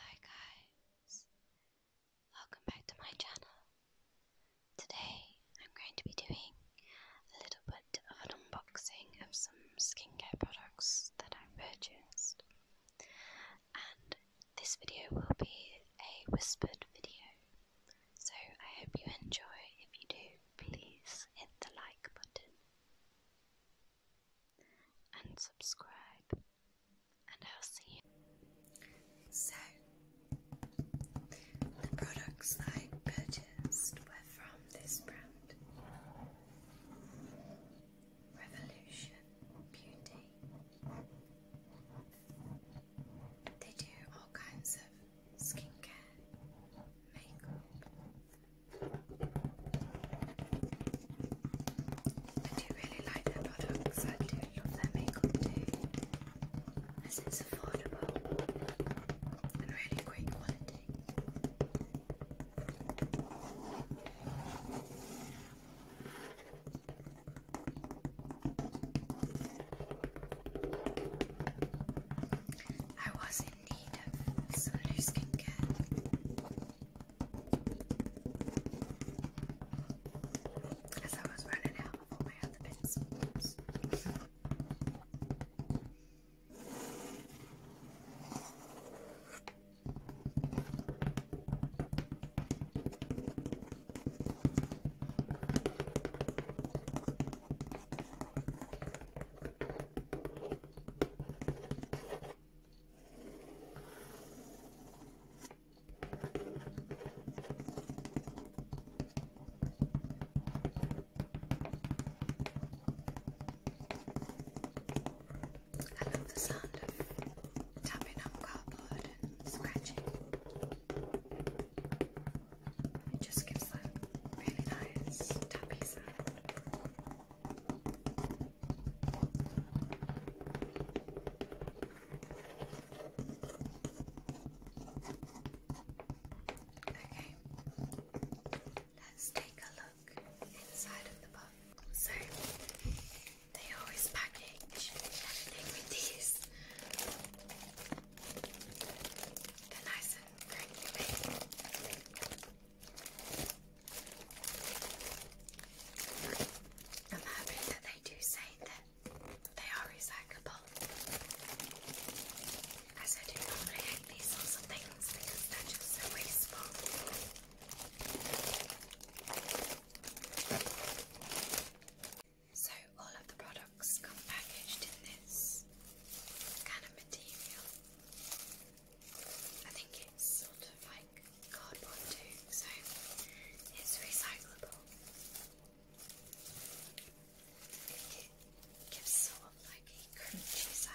Hi guys, welcome back to my channel. Today I'm going to be doing a little bit of an unboxing of some skincare products that I purchased. And this video will be a whispered video. So I hope you enjoy. If you do, please hit the like button and subscribe, and I'll see you. So, the products I purchased were from this brand Revolution Beauty. They do all kinds of skincare, makeup, I do really like their products. I do love their makeup too, as it's affordable and really great quality. I was in need of some new skincare as I was running out of all my other pencils. I love the sound of tapping on cardboard and scratching. It just gives that really nice tappy sound. Okay, let's take a look inside of the box. So, they always package everything with these. They're nice and crinkly. I'm hoping that they do say that they are recyclable. As I do normally hate these sorts of things they're just wasteful. So all of the products come packaged in this kind of material. I think it's sort of like cardboard too, so it's recyclable. It gives sort like a crunchy sound.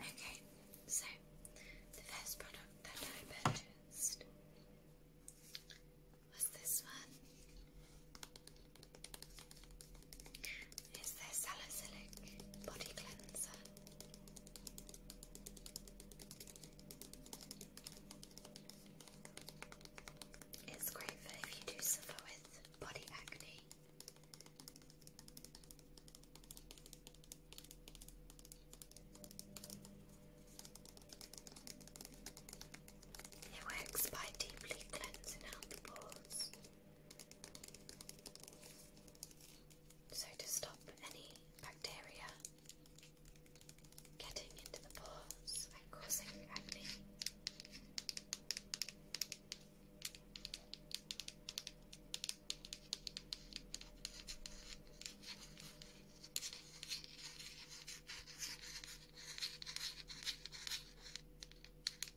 Okay, so the first product that I purchased was this one. Is their salicylic body cleanser? It's great for if you do suffer with body acne. It works by deeply cleansing out the pores so, to stop any bacteria getting into the pores and causing acne,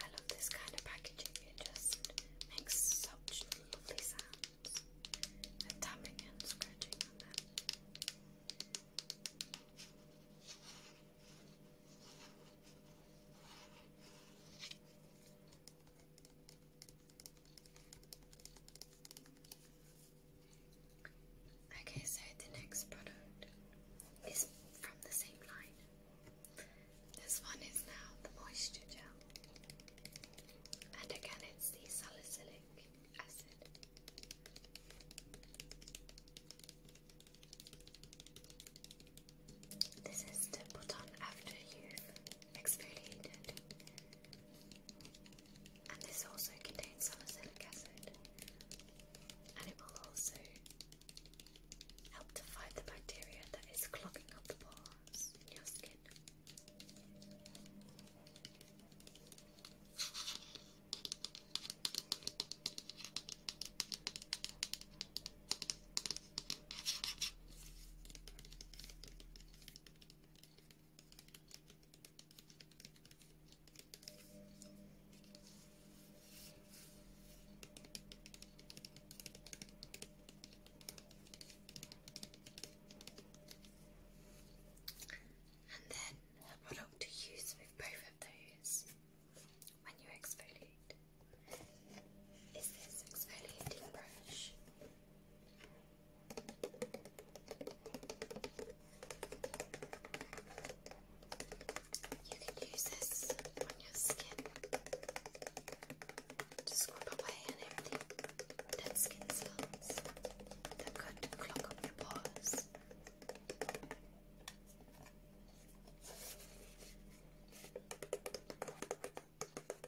I love this kind of packaging, it just makes such lovely sounds. And tapping and scratching on them. Okay, so the next product is from the same line. This one is now the moisture gel, and again it's the salicylic acid. This is to put on after you've exfoliated and this also contains salicylic acid. And it will also help to fight the bacteria that is clogging up the pores in your skin. And then a product to use with both of those when you exfoliate is this exfoliating brush. You can use this on your skin to scrub away and everything dead skin cells that could clog up your pores.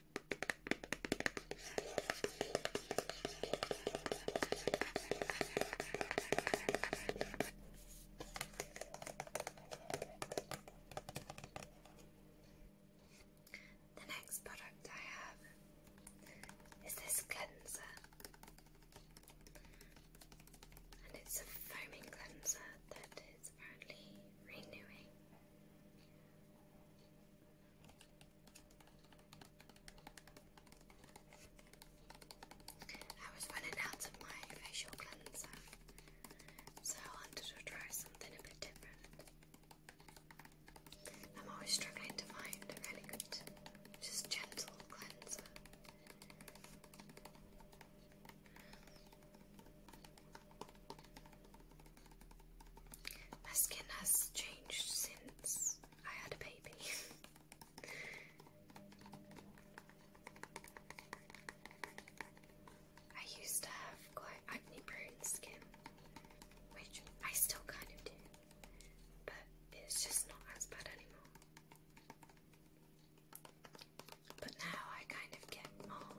The next product I have is this cleanser, and it's a foaming cleanser that is apparently renewing. I was running out of my facial cleanser, so I wanted to try something a bit different. I'm always struggling to find a really good, just gentle cleanser. My skin has changed since I had a baby. I used to have quite acne prone skin, which I still kind of do, but it's just not as bad anymore. But now I kind of get more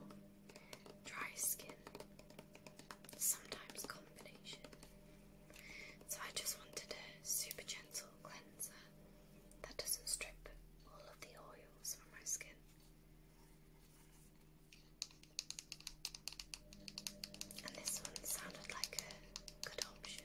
dry skin sometimes combination. So I just wanted a super gentle cleanser that doesn't strip all of the oils from my skin. And this one sounded like a good option.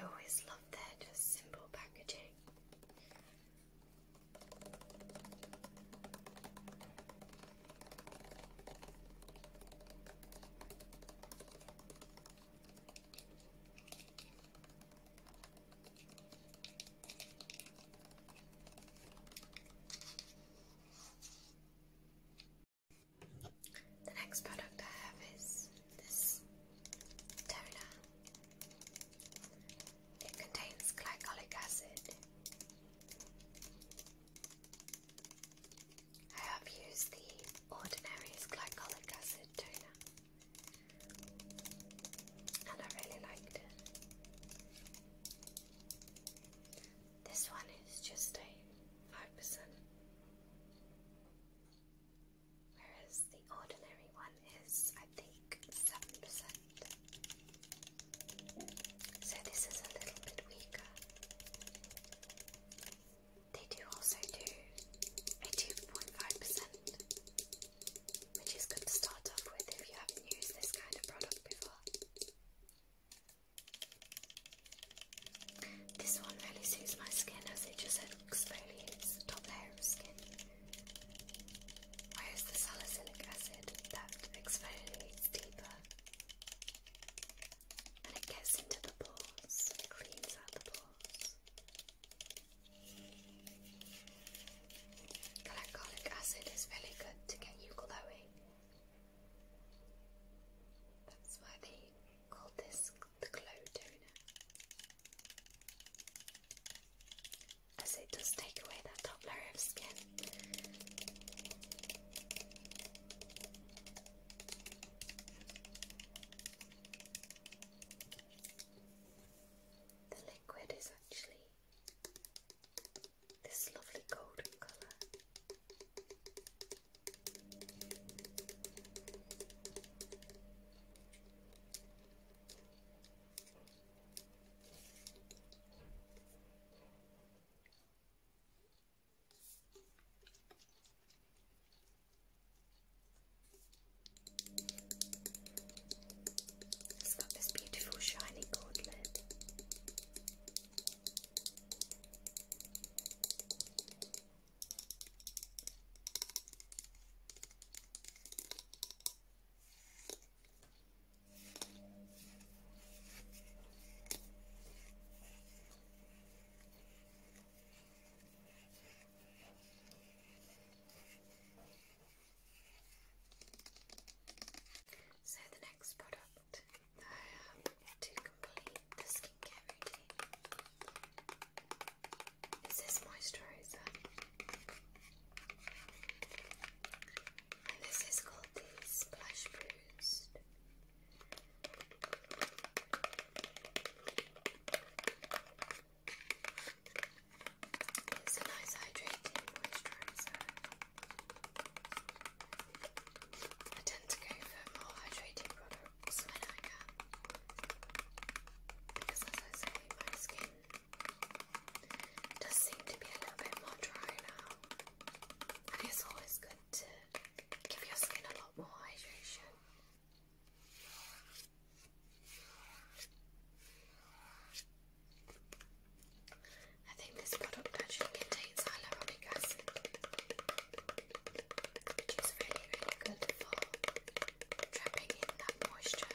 I always love their just simple packaging. The next product I have is this toner. It contains glycolic acid. I have used the Ordinary's glycolic acid toner and I really liked it. This one is just a 5%, whereas the ordinary one is, I think, 7%. So this is a little bit weaker. They do also do a 2.5% which is good to start off with if you haven't used this kind of product before. This one really suits my skin as it just exfoliates the top layer of skin, whereas the salicylic acid that exfoliates deeper and it gets into the pores, cleans out the pores. Glycolic acid is really good to get you glowing. That's why they call this the glow toner. As it does take away that top layer of skin. The liquid is actually this lovely golden colour. It's got this beautiful shiny gauntlet. So the next product I have to complete the skincare routine is this moisturizer. And this is called the Splash Bruised it's a nice hydrating moisturizer. I tend to go for more hydrating products when I can. Because as I say, my skin does seem to be a little bit more dry now. And it's always good to give your skin a lot more hydration. I think this product actually contains hyaluronic acid, which is really, really good for trapping in that moisture.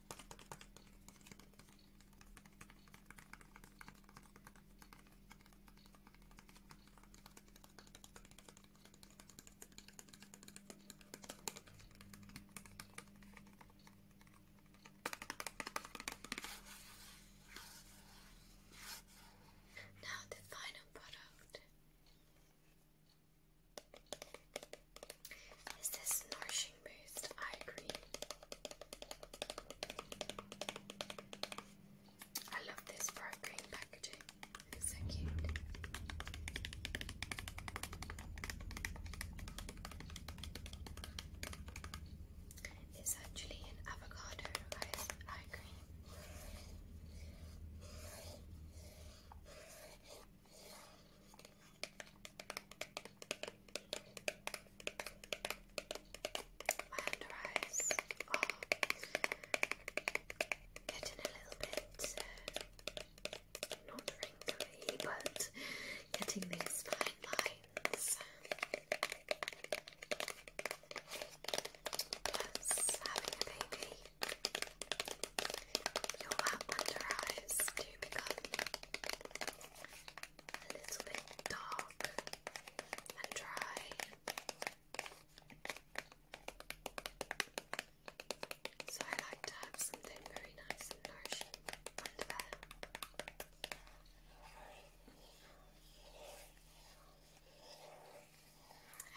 Now the final product. Is this Nourishing Boost Eye Cream? I love this bright green packaging. It's so cute. It's actually an avocado eye cream. Mounderize are getting a little bit not wrinkly, but getting these fine lines. Plus, having a baby You'll eyes to become a little bit dark and dry. So I like to have something very nice and nourishing under there.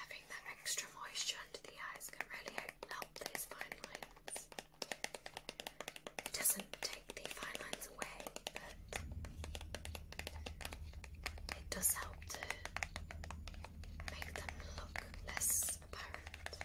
Having that extra moisture under the eyes can really help those fine lines. It doesn't take the fine lines away, but it does help to make them look less apparent.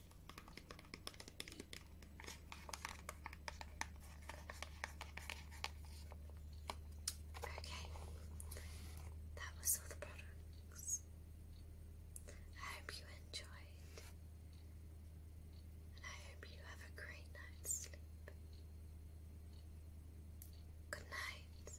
Okay, that was all the products. I hope you enjoyed, and I hope you have a great night's sleep. Good night.